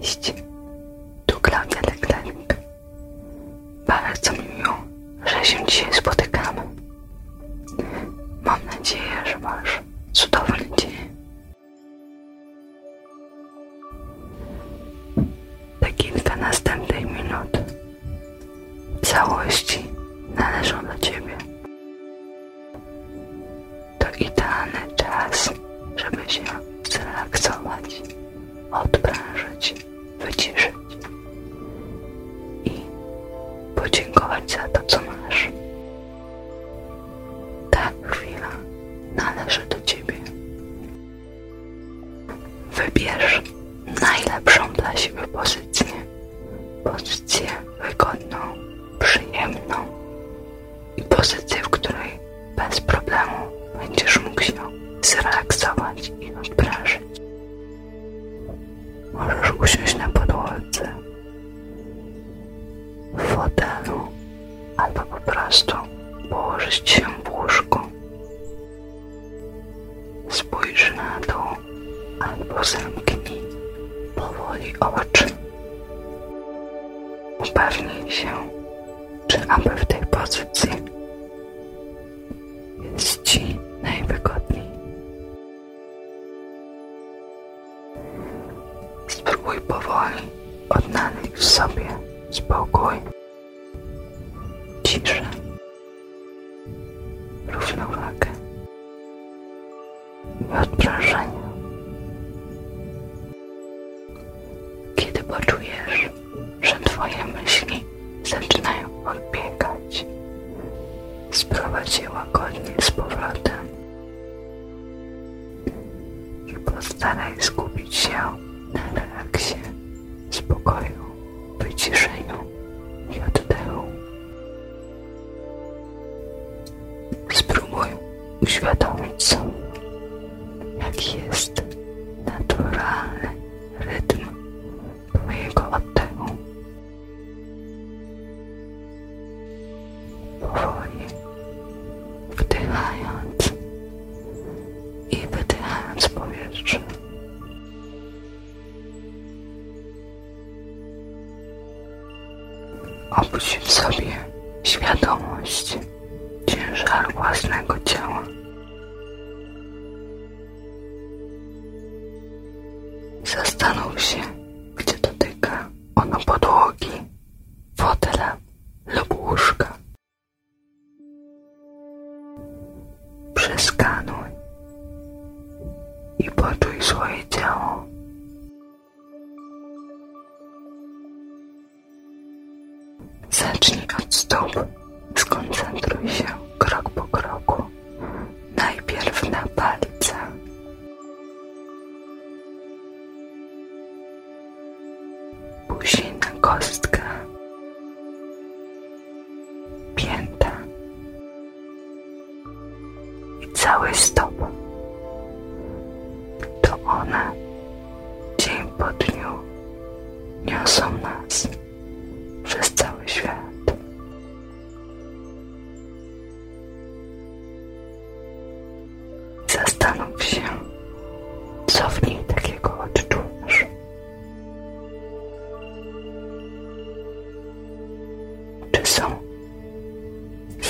Cześć, tu Klaudia Leklenik. Bardzo mi miło, że się dzisiaj spotykamy. Mam nadzieję, że masz cudowny dzień. Te kilka następnych minut w całości należą do Ciebie. To idealny czas, żeby się zrelaksować, odprężyć, wyciszyć i podziękować za to, co masz. Ta chwila należy do Ciebie. Wybierz najlepszą dla ciebie pozycję. Pozycję wygodną, przyjemną, i pozycji, w której bez problemu będziesz mógł się zrelaksować i odprężyć. Możesz usiąść na podłodze, w fotelu albo po prostu położyć się w łóżku. Spójrz na dół albo zamknij powoli oczy. Upewnij się, czy aby w tej pozycji jest Ci najwygodniej. Spróbuj powoli odnaleźć w sobie spokój, ciszę, równowagę i odprężenia. Kiedy poczujesz, że Twoje myśli zaczynają odbiegać, sprowadź je łagodnie z powrotem i postaraj skupić się na relaksie, spokoju, wyciszeniu i oddechu. Spróbuj uświadomić sobie, jaki jest naturalny rytm Twojego oddechu. Powoli wdychając i wydychając powietrze. Obudź w sobie świadomość ciężaru własnego ciała. Zastanów się, gdzie dotyka ono podłogi, fotela lub łóżka. Przeskanuj i poczuj swoje ciało Zacznij od stóp. Skoncentruj się krok po kroku. Najpierw na palcach. Później na kostkę. Piętę i cały stop, To one dzień po dniu niosą nas przez cały świat. Zastanów się, co w niej takiego odczujesz. Czy są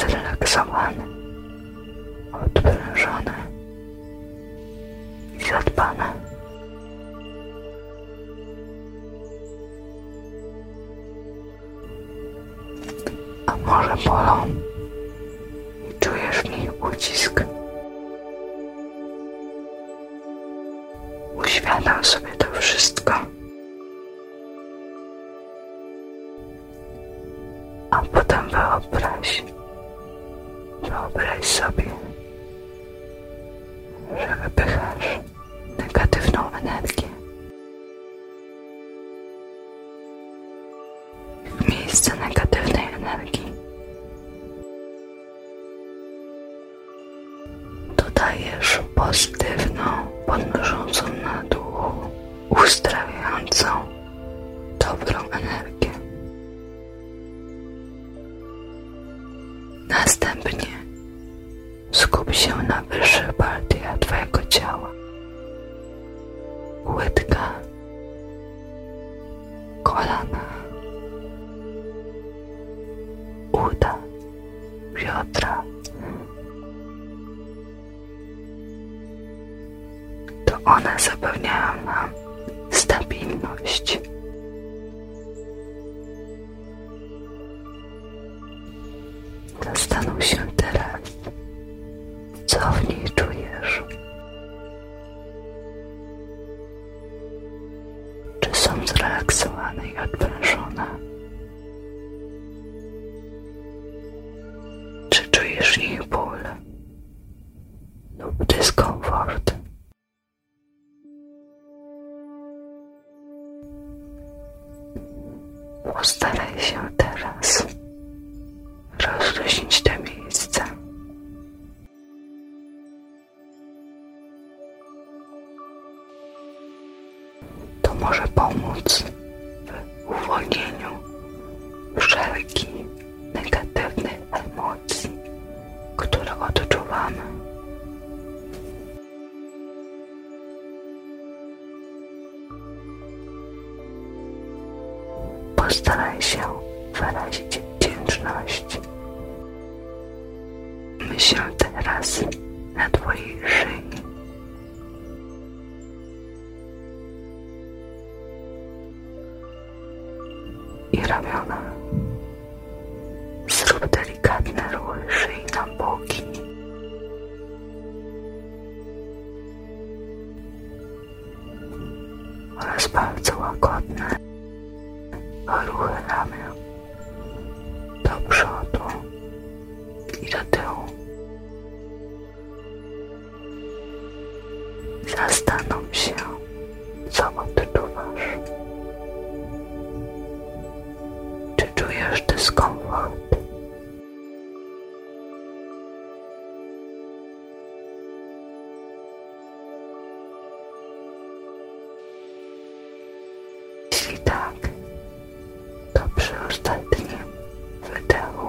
zrelaksowany, odprężony i zadbany. A może bolą i czujesz w niej ucisk. Uświadam sobie to wszystko a potem wyobraź, wyobraź sobie, że wypychasz negatywną energię. W miejsce negatywnej energii Dodajesz pozytywną, podnoszącą na duchu, uzdrawiającą, dobrą energię. Następnie skup się na wyższych partiach Twojego ciała. Łydka, kolana, uda. Piotra. To one zapewniają nam stabilność. Zastanów się teraz, co w niej czujesz. Czy są zrelaksowane i odprężone? Czy czujesz ich ból lub dyskomfort? Postaraj się teraz rozluźnić te miejsce. To może pomóc w uwolnieniu wszelkich negatywnych emocji, które odczuwamy. Postaraj się wyrazić wdzięczność Myśl teraz na Twojej szyi. I ramiona. Zrób delikatne ruchy szyi na boki. Oraz bardzo łagodne ruchy ramion do przodu i do tyłu. Zastanów się, co odczuwasz. Czy czujesz dyskomfort? Jeśli tak, to przy ostatnim wydechu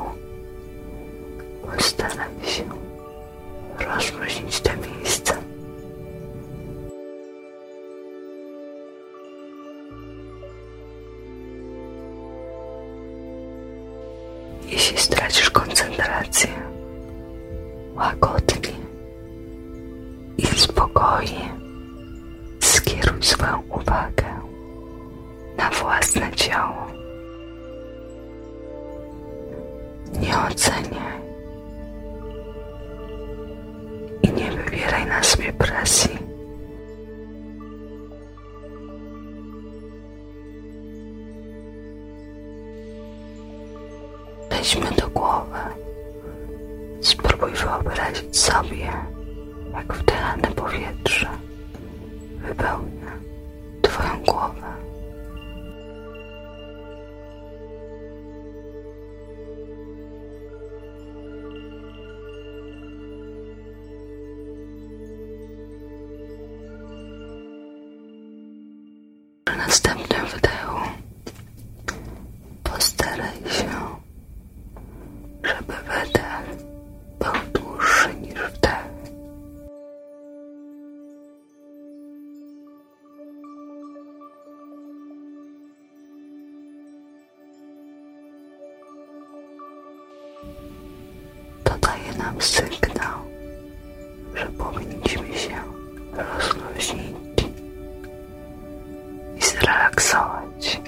postaram się rozluźnić to miejsce. Jeśli stracisz koncentrację, łagodnie i spokojnie skieruj swoją uwagę na własne ciało. Nie oceniaj i nie wybieraj na sobie presji. Weźmy do głowy. Spróbuj wyobrazić sobie, jak wdychane powietrze wypełnia Twoją głowę. Przy następnym wdechu postaraj się, żeby wydech był dłuższy niż wdech. To daje nam sygnał, że powinniśmy się rozluźnić i zrelaksować.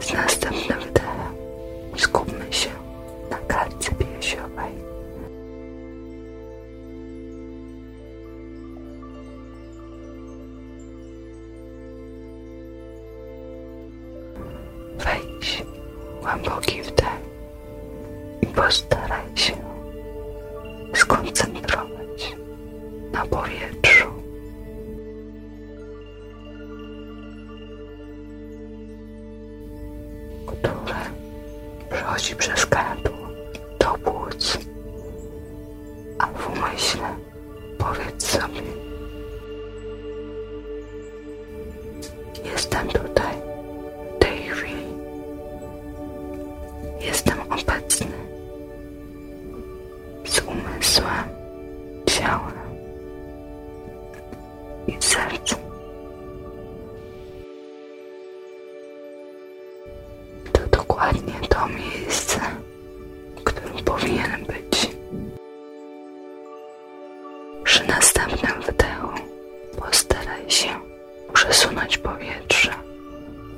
Z następnym wdechem skupmy się na klatce piersiowej. Wejdź głęboki wdech i postaraj się skoncentrować na powietrzu. które przechodzi przez gardło do płuc, a w umyśle Powiedz sobie. Jestem tutaj, w tej chwili. Jestem obecny. Z umysłem, ciałem i sercem. To dokładnie to miejsce którym powinien być. Przy następnym wdechu postaraj się przesunąć powietrze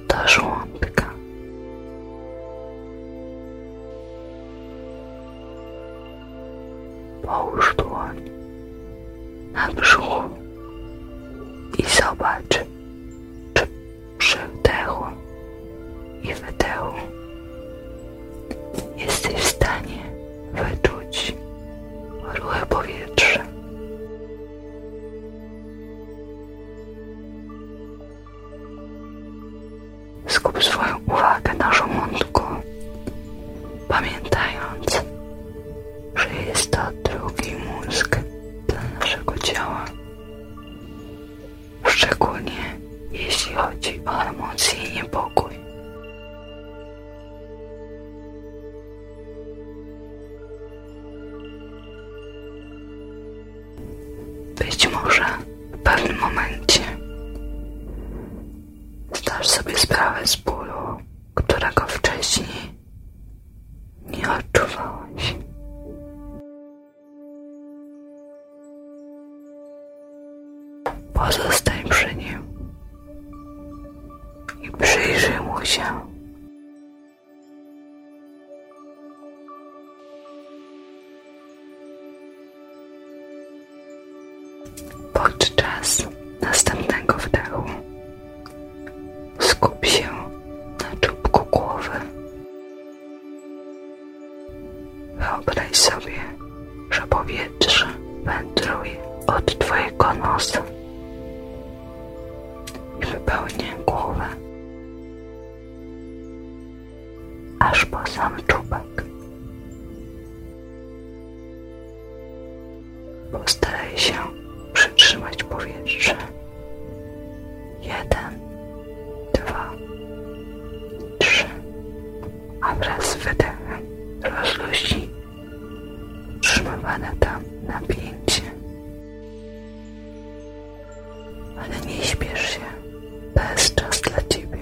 do żołądka. Połóż dłoń na brzuchu i zobacz, czy przy wdechu i wydechu jesteś w stanie wyczuć ruchy powietrza. Skup swoją uwagę na żołądku, pamiętając, że jest to drugi mózg dla naszego ciała szczególnie jeśli chodzi o emocje i niepokój. Być może w pewnym momencie zdasz sobie sprawę z bólu, którego wcześniej nie odczuwałeś. Pozostań przy nim i przyjrzyj mu się. Podczas następnego wdechu skup się na czubku głowy Wyobraź sobie, że powietrze wędruje od Twojego nosa i wypełnia głowę, aż po sam czubek. Postaraj się przytrzymać powietrze jeden, dwa, trzy, a wraz z rozluźnij utrzymywane tam na pięcie, Ale nie śpiesz się, bez jest dla Ciebie.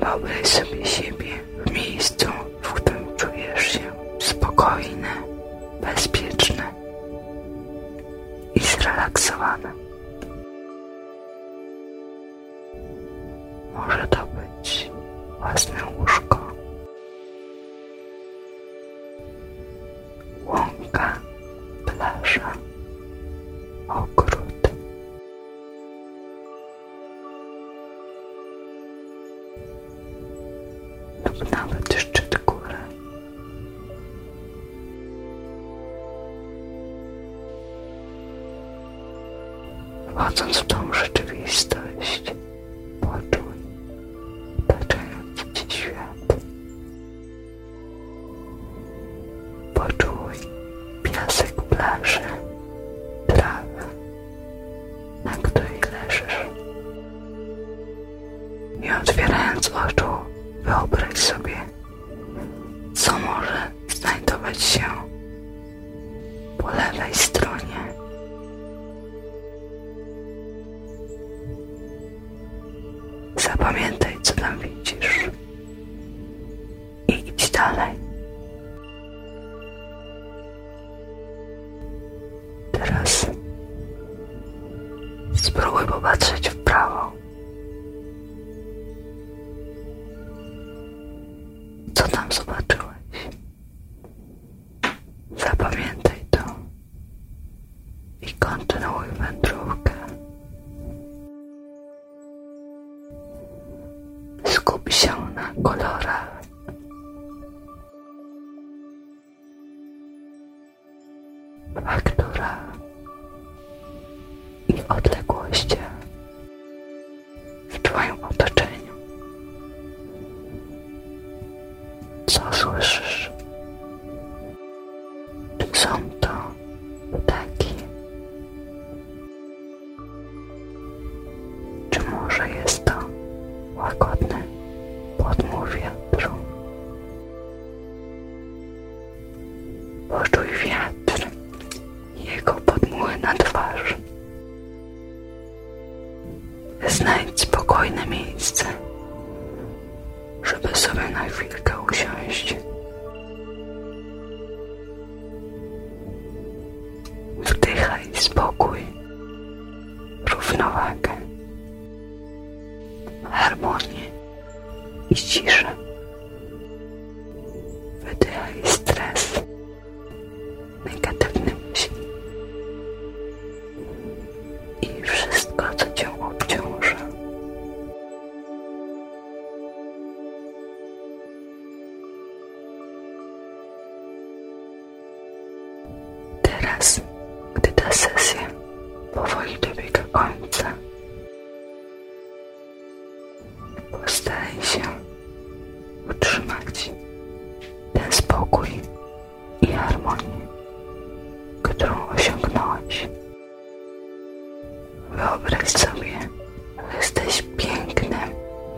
Wyobraź sobie siebie w miejscu, w którym czujesz się spokojny, bezpieczne i zrelaksowane. Może to być własne łóżko, łąka, plaża, ogród nawet szczyt góry. Wchodząc w tą rzeczywistość, poczuj otaczający Ci świat. Poczuj piasek plaży, trawę, na której leżysz. Nie otwierając oczu, wyobraź sobie, co może znajdować się po lewej stronie. Zapamiętaj, co tam widzisz i idź dalej. Teraz spróbuj popatrzeć w prawo. Co tam zobaczyłeś? Zapamiętaj to i kontynuuj wędrówkę. Skup się na kolorach a która i odległości w Twoim otoczeniu. Co słyszysz? Czy są to ptaki? Czy może jest to łagodne podmuch wiatru? Poczuj wiatr i jego podmuchy na twarz. Znajdź spokojne miejsce, żeby sobie na chwilkę usiąść. Wdychaj spokój równowagę, harmonię i ciszę. Wydychaj stres, negatywny myśli i wszystko, co cię obciąża. Teraz, gdy ta sesja powoli dobiega końca, postaraj się utrzymać ten spokój i harmonię, którą osiągnąłeś. Wyobraź sobie, że jesteś pięknym,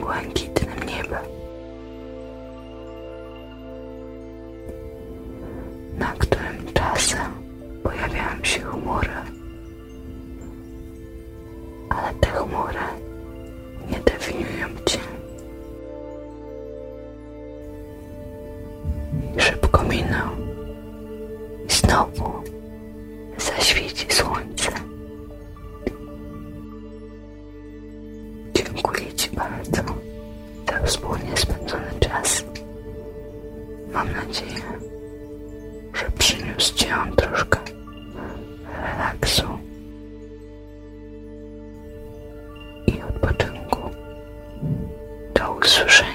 błękitnym niebem na którym czasem pojawiają się chmury, ale te chmury nie definiują cię. Szybko minął i znowu zaświeci słońce. Dziękuję Ci bardzo za wspólnie spędzony czas. Mam nadzieję, że przyniósł Ci on troszkę relaksu i odpoczynku. Do usłyszenia.